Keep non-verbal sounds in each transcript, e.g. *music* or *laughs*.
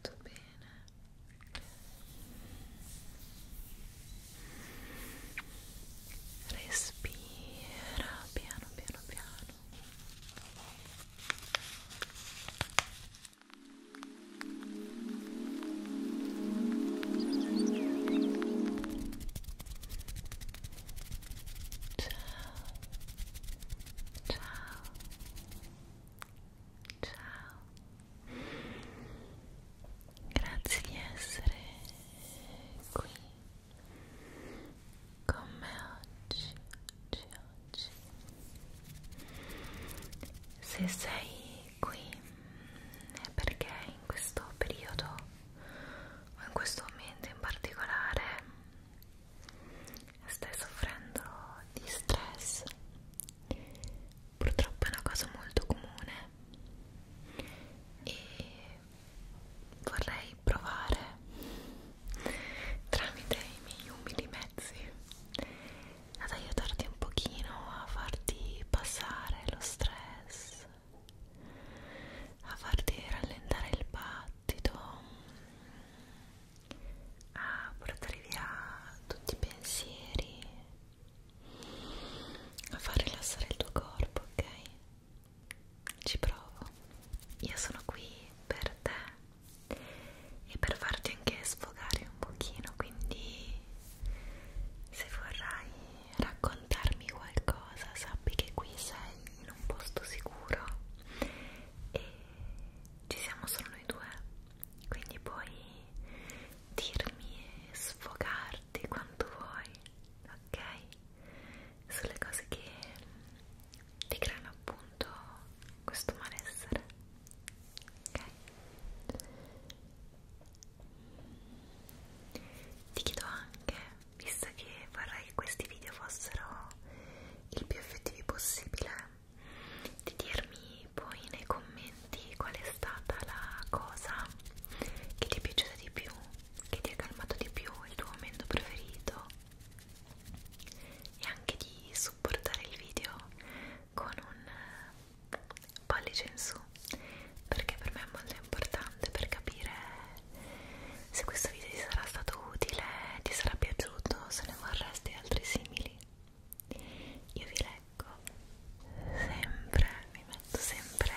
Tutto bene. Respira piano piano piano ciao ciao grazie di essere qui con me oggi oggi oggi se sei qui è perché in questo periodo o in questo momento in particolare stai soffrendo di stress purtroppo è una cosa molto comune e vorrei provare tramite i miei umili mezzi ad aiutarti un pochino a farti passare lo stress a farti rallentare il passo ti do a ah, portare via tutti i pensieri a far rilassare il tuo corpo, ok? Ci provo. Io sono qui per te e per farti anche sfogare un pochino, quindi se vorrai raccontarmi qualcosa, sappi che qui sei in un posto sicuro e ci siamo solo noi due, quindi puoi dirmi e sfogarti quanto vuoi, ok? Sulle cose che ti creano appunto questo malessere, ok? Ti chiedo anche, visto che vorrei che questi video fossero il più effettivi possibile di dirmi poi nei commenti qual è stata la cosa che ti è piaciuta di più che ti ha calmato di più il tuo momento preferito e anche di supportare il video con un pollice in su perché per me è molto importante per capire se questo video ti sarà stato utile, ti sarà piaciuto, se ne vorresti altri simili, io vi leggo sempre, vi metto sempre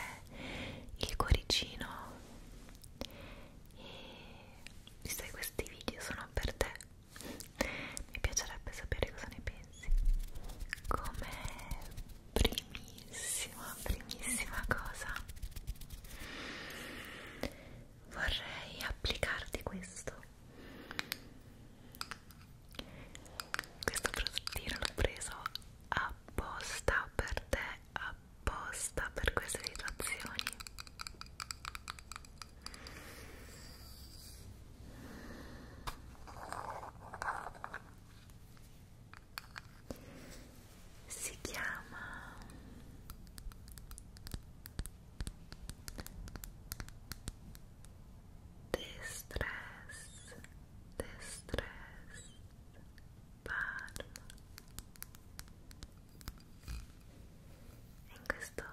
il cuoricino e visto che questi video sono per te, mi piacerebbe sapere cosa ne pensi. Come primissima, primissima cosa vorrei applicarti questo questo prodottino l'ho preso apposta per te apposta per queste situazioni si chiama Distress Distress Palm in questo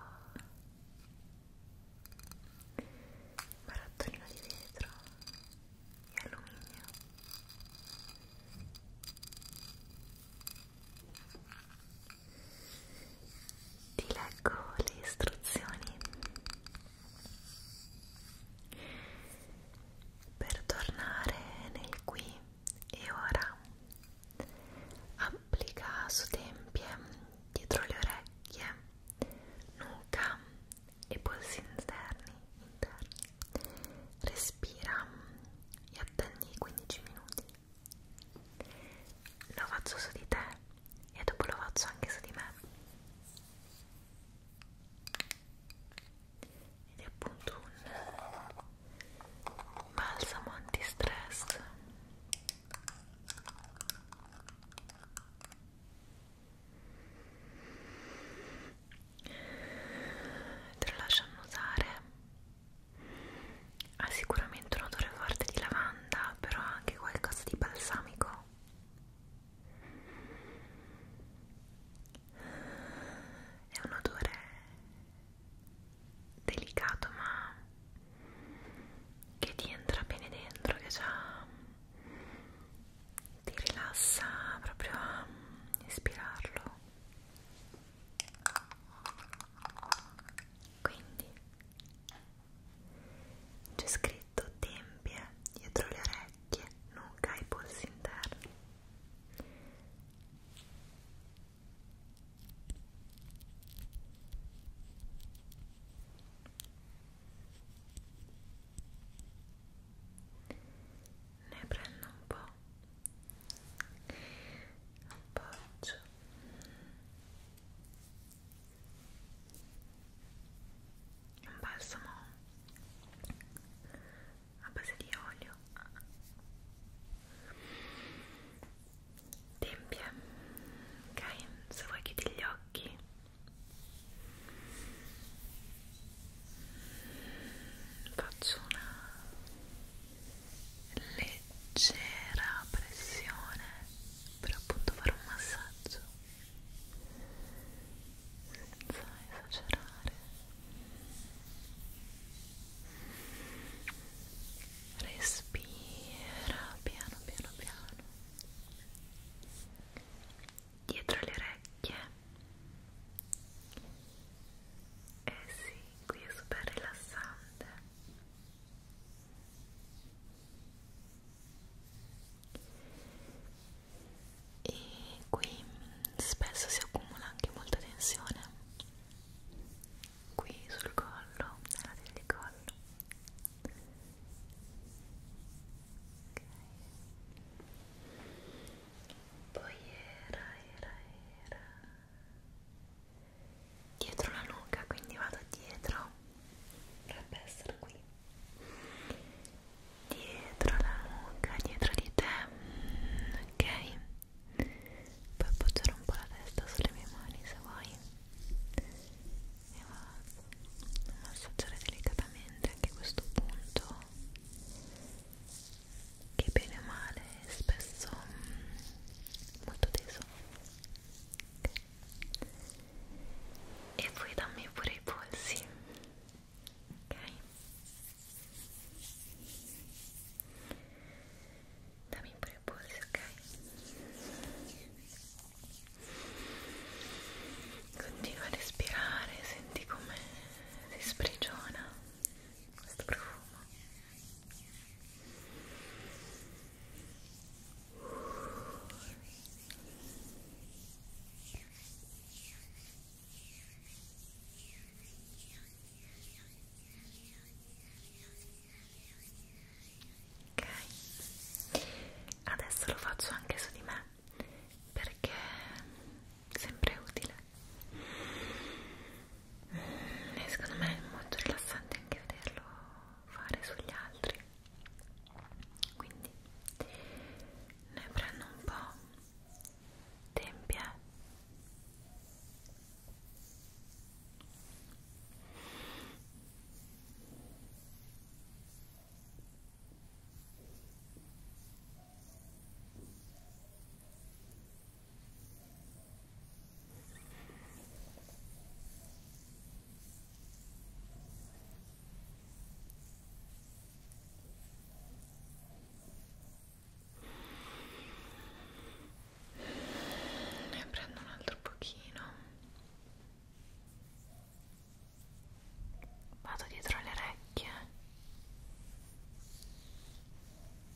barattolino di vetro e alluminio ti leggo le istruzioni. Per tornare nel qui e ora, applica su tempie, dietro le orecchie, nuca e polsi interni. interni. Respira e attendi 15 minuti lo faccio su di te e dopo lo faccio anche su di me ed è appunto un balsamo antistress te lo lascio annusare ha sicuramente un odore forte di lavanda però ha anche qualcosa di balsamico è un odore delicato ma che ti entra bene dentro che già ti rilassa proprio a ispirarlo quindi c'è scritto tempie dietro le orecchie, nuca e polsi interni. Ne prendo un po' appoggio un balsamo a base di olio tempia ok se vuoi chiudi gli occhi faccio una leggera pressione per appunto fare un massaggio senza esagerare respira piano piano piano dietro le orecchie eh sì, qui è super rilassante. E qui spesso si accumula anche molta tensione. Qui sul collo, nella del collo. Okay. Poi era, era, era dietro la nuca quindi vado dietro dovrebbe essere qui dietro la nuca dietro di te mm, ok puoi appoggiare un po' la testa sulle mie mani se vuoi e vado a massaggiare delicatamente anche questo punto che bene o male è spesso mm, molto teso e poi dammi pure i polsi ok dammi pure i polsi ok Continua a respirare, senti come si sprigiona questo profumo. Ok, adesso lo faccio anche su di me perché sempre utile e eh, secondo me è molto rilassante anche vederlo fare sugli altri quindi ne prendo un po' tempia e eh. Ne prendo un altro pochino. Vado dietro le orecchie.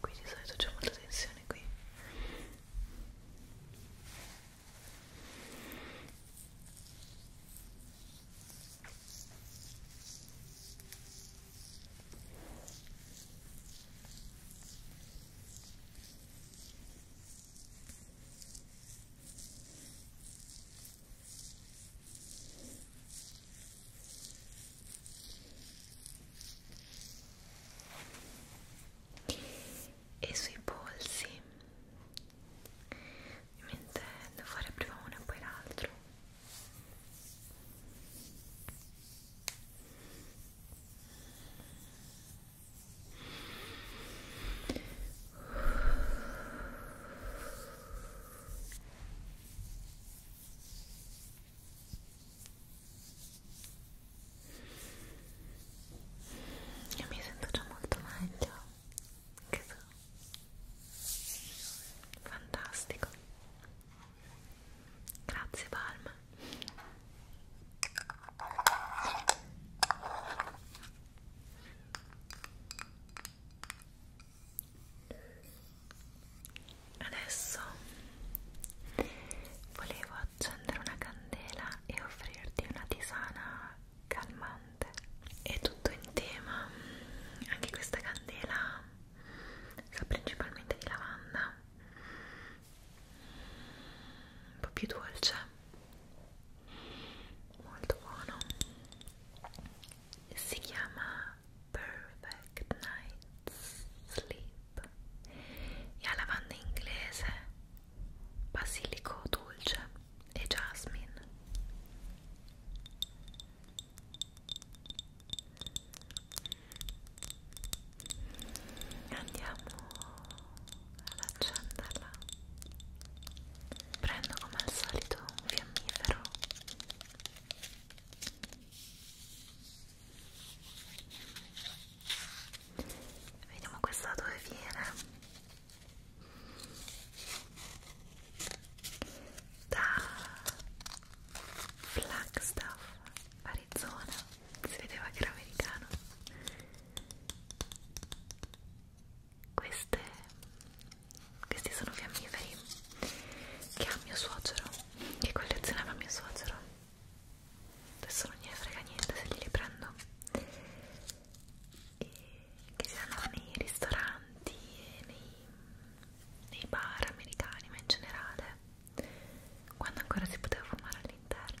qui di solito c'è molta tensione qui e sui polsi ovviamente devo fare prima uno e poi l'altro io mi sento già molto meglio, che so, fantastico. Grazie Palma. Adesso volevo accendere una candela e offrirti una tisana calmante. È tutto in tema, anche questa candela sa principalmente di lavanda un po' più dolce molto buono si chiama Perfect Night Sleep e ha lavanda inglese basilico dolce e jasmine andiamo ad accenderla prendo come al solito un fiammifero vediamo questa dove viene da Flagstaff Arizona, si vedeva che era americano. Queste, questi sono fiammiferi che ha mio suocero, che collezionava mio suocero. Adesso non gliene frega niente se glieli prendo. E che si danno nei ristoranti e nei, nei bar americani, ma in generale quando ancora si poteva fumare all'interno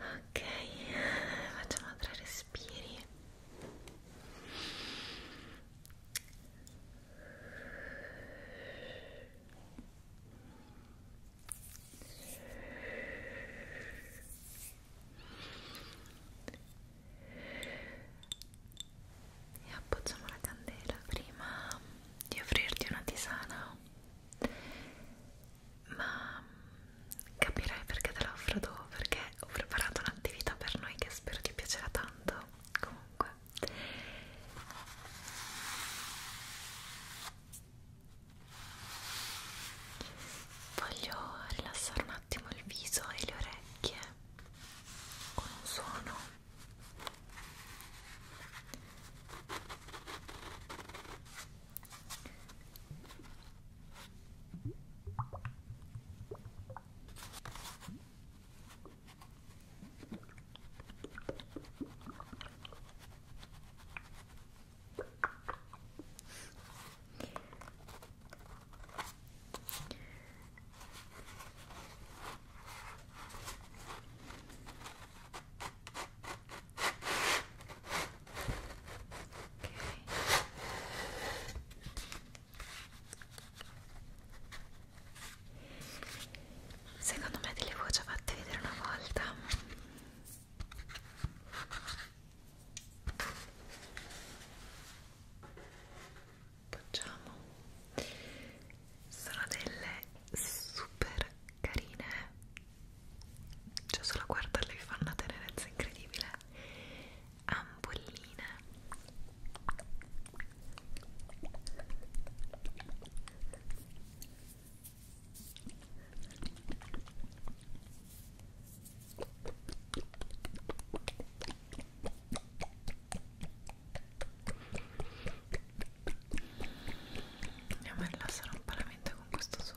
Ok, facciamo tre respiri e appoggiamo la candela prima di offrirti una tisana ma capirai perché te la offro dopo perché ho preparato un'attività per noi che spero ti piacerà tanto comunque Voglio rilassare un attimo il viso e le orecchie con un suono Secondo me te le avevo già fatte vedere una volta appoggiamo sono delle super carine cioè solo a guardarle vi fanno una tenerezza incredibile ampolline Andiamo a rilassare un po' la mente con questo suono.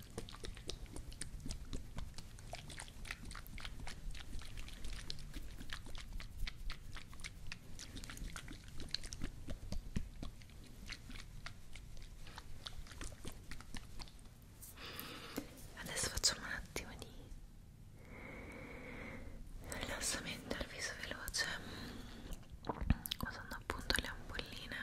Adesso facciamo un attimo di rilassamento al viso veloce usando appunto le ampolline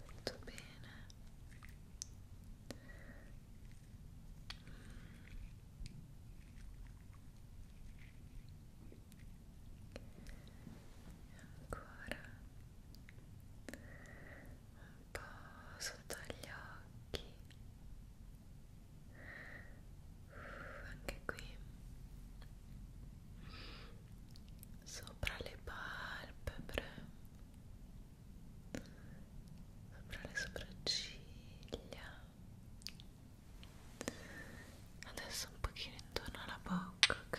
molto bene e ancora un po' sotto gli occhi anche qui sopra le palpebre sopra le sopracciglia adesso un pochino intorno alla bocca ok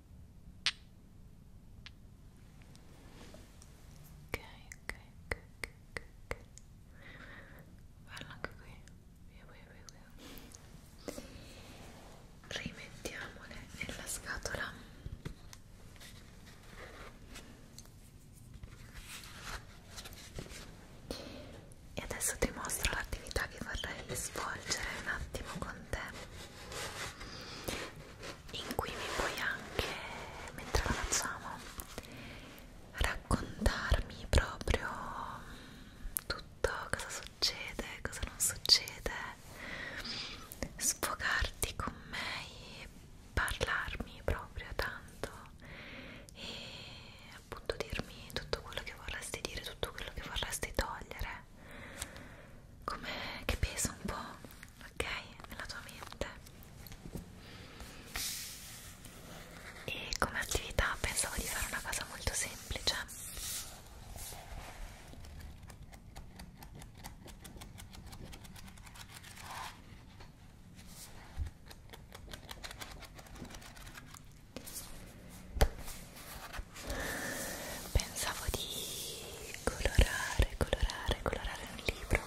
ok, ok, ok, ok, ok Parla anche qui via, via, via, via rimettiamole nella scatola e adesso ti mostro l'attività che vorrei svolgere un attimo con interessante in cui mi puoi anche, mentre la facciamo, raccontarmi proprio tutto, cosa succede, cosa non succede, sfogarti con me e parlarmi proprio tanto e appunto dirmi tutto quello che vorresti dire, tutto quello che vorresti togliere come che pesa un po', ok? Nella tua mente. E come attività pensavo di fare una cosa molto semplice pensavo di colorare, colorare, colorare un libro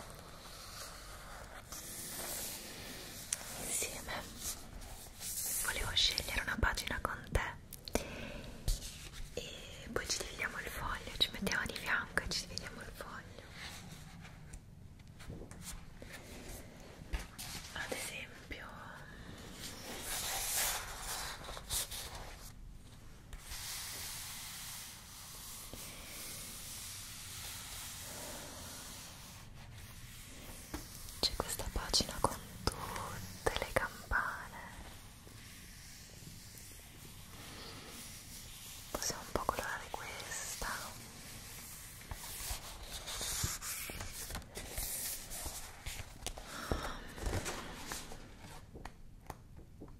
insieme volevo scegliere una pagina con te e poi ci dividiamo il foglio, ci mettiamo di fianco e ci dividiamo il foglio ad esempio c'è questa pagina con tutte le campane. Possiamo un po' colorare questa. Oppure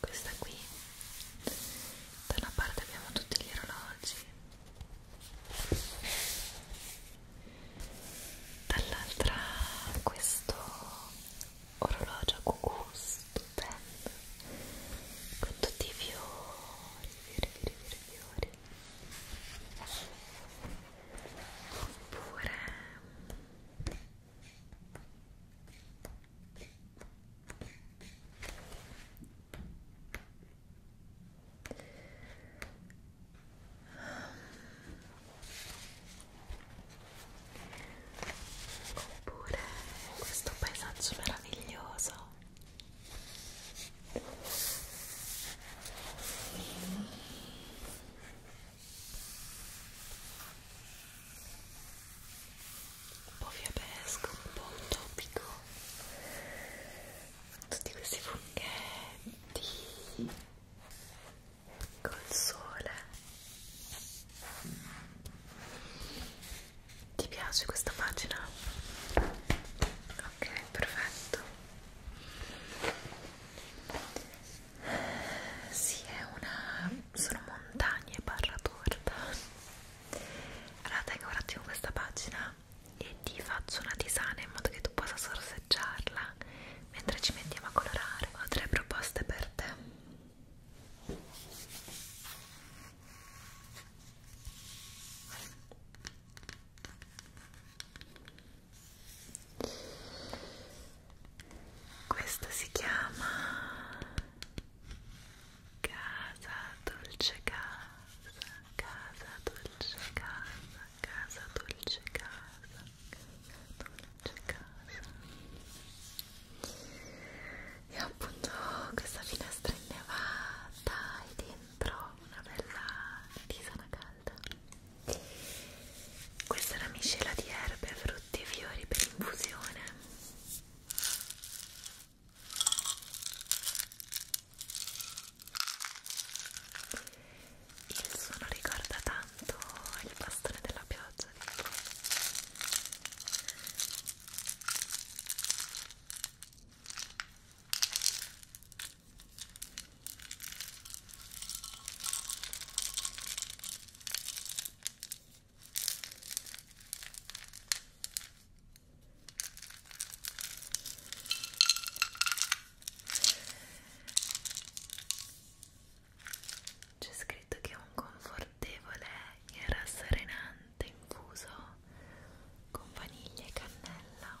questa qui da una parte abbiamo tutti gli orologi dall'altra questo orologio cucù stupendo con tutti i fiori fiori fiori fiori oppure oppure questo paesaggio meraviglioso un po' fiabesco, un po' utopico tutti questi funghetti col sole ti piace questa pagina? ok, perfetto sì, è una... sono montagne barra torta allora tengo un attimo questa pagina e ti faccio una tisana in modo che tu possa sorseggiarla mentre ci mettiamo a colorare ho tre proposte per te questa si chiama Casa dolce casa, casa dolce casa, casa dolce casa, dolce casa. E appunto questa finestra innevata e dentro una bella tisana calda. Questa è la miscela di erbe, frutti e fiori per infusione. Il suono ricorda tanto il bastone della pioggia, dico. C'è scritto che è un confortevole e rasserenante infuso con vaniglia e cannella.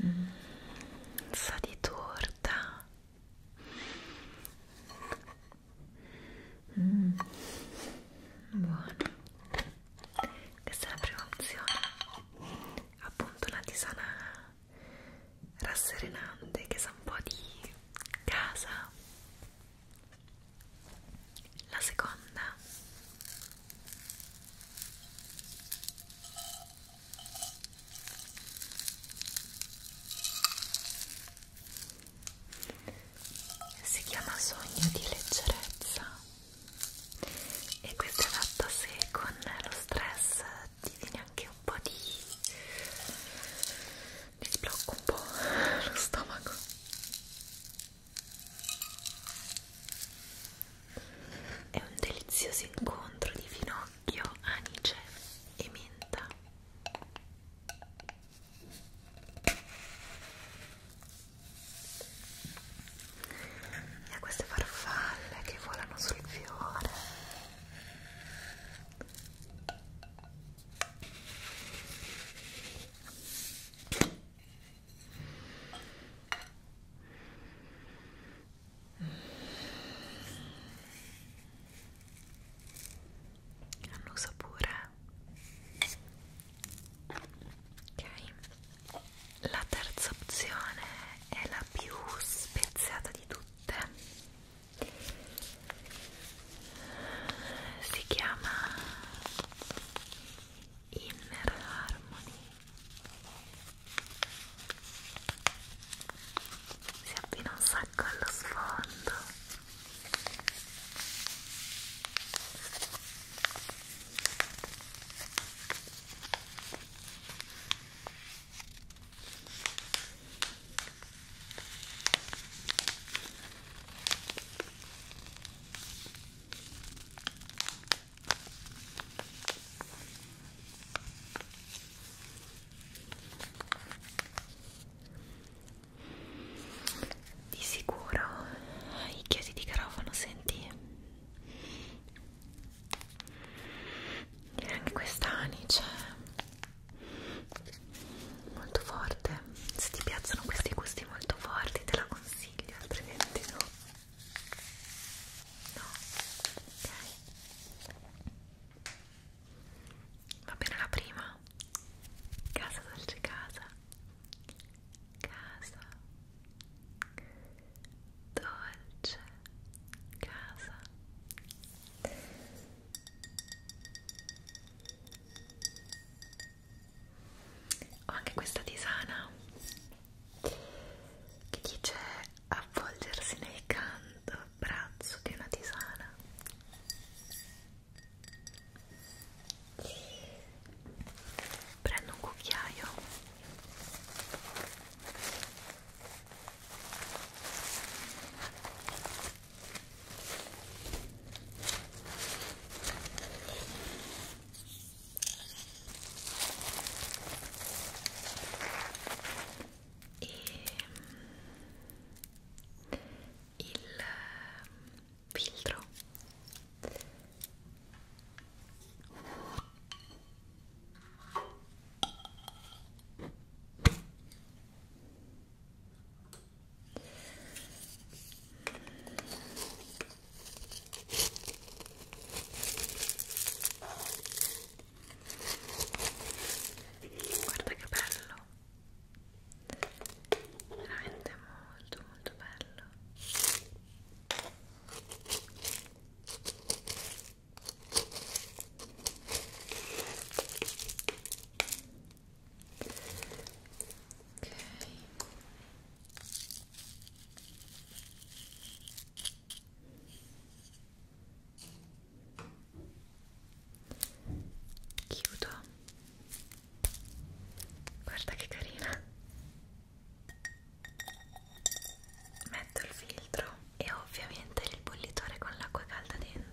mm, sa di torta mm, buono questa è la prima opzione appunto una tisana rasserenante che sa un po' di casa la seconda si chiama Sogno di leggerezza e questo è fatto se con lo stress ti viene anche un po' di... ti sblocco un po' *laughs* lo stomaco è un delizioso incontro di finocchio, anice e menta. E queste farfalle che volano sul fiore. Annusa pure ok la terza opzione è la più speziata di tutte si chiama Inner Harmony si abbina un sacco allo sfondo di sicuro i chiesi di garofano senti e anche quest'anice cioè, molto forte se ti piacciono questi gusti molto forti te la consiglio altrimenti no No, ok. Va bene la prima. Casa dolce casa. Casa. Dolce casa. Ho anche questa tisana che dice avvolgersi nel canto braccio di una tisana prendo un cucchiaio e mm, il mm, filtro Guarda che bello, veramente molto molto bello. Ok chiudo guarda che carina metto il filtro e ovviamente il bollitore con l'acqua calda dentro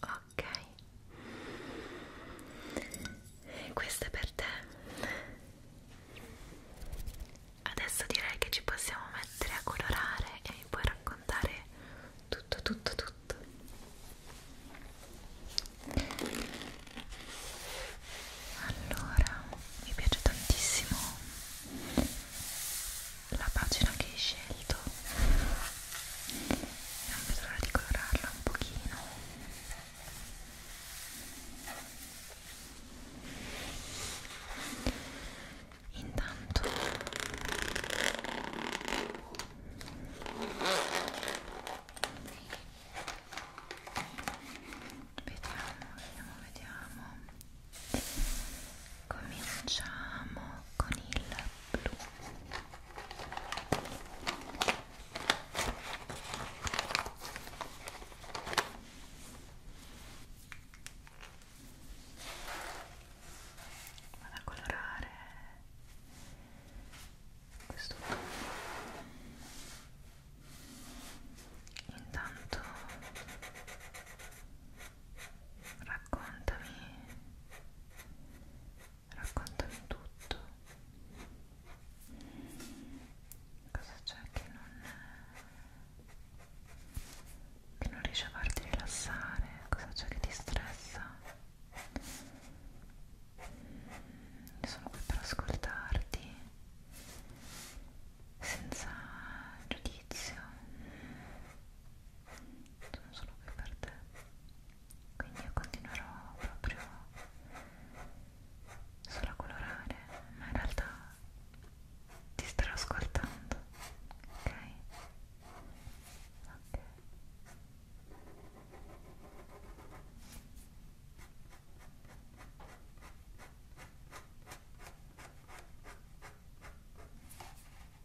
ok questo è per te adesso direi che ci possiamo mettere a colorare e mi puoi raccontare tutto tutto tutto allora mi piace tantissimo la pagina che hai scelto non vedo l'ora di colorarla un pochino intanto vediamo vediamo vediamo cominciamo con il blu Vado a colorare questo intanto raccontami raccontami tutto cosa c'è che non che non riesce a farti rilassare cosa c'è che ti stressa sono qui per ascoltarti senza giudizio sono solo qui per te quindi io continuerò proprio solo a colorare ma in realtà ti starò ascoltando ok? ok ok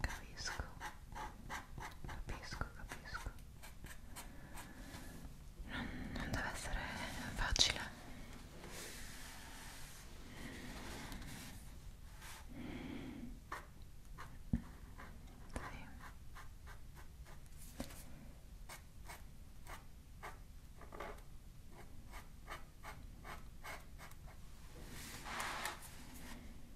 Capisco, capisco, capisco. Non, non deve essere facile. Sì. Sì.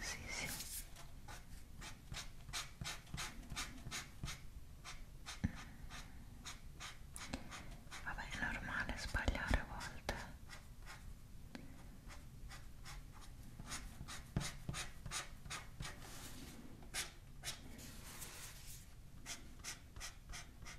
Sì, sì. Vabbè, è normale sbagliare a volte. Sì,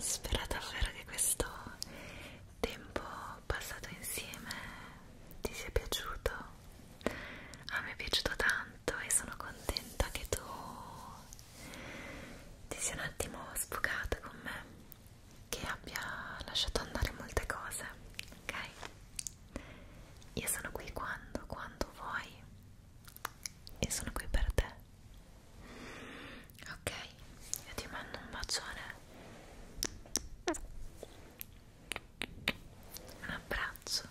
Spero davvero che questo tempo passato insieme ti sia piaciuto. A me è piaciuto tanto e sono contenta che tu ti sia un attimo sfogata con me, che abbia lasciato andare molte cose. Ok? Io sono qui quando, quando vuoi e sono qui per te. Ok, io ti mando un bacione, un abbraccio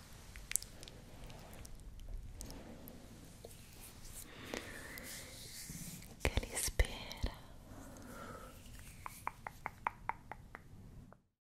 che li spera.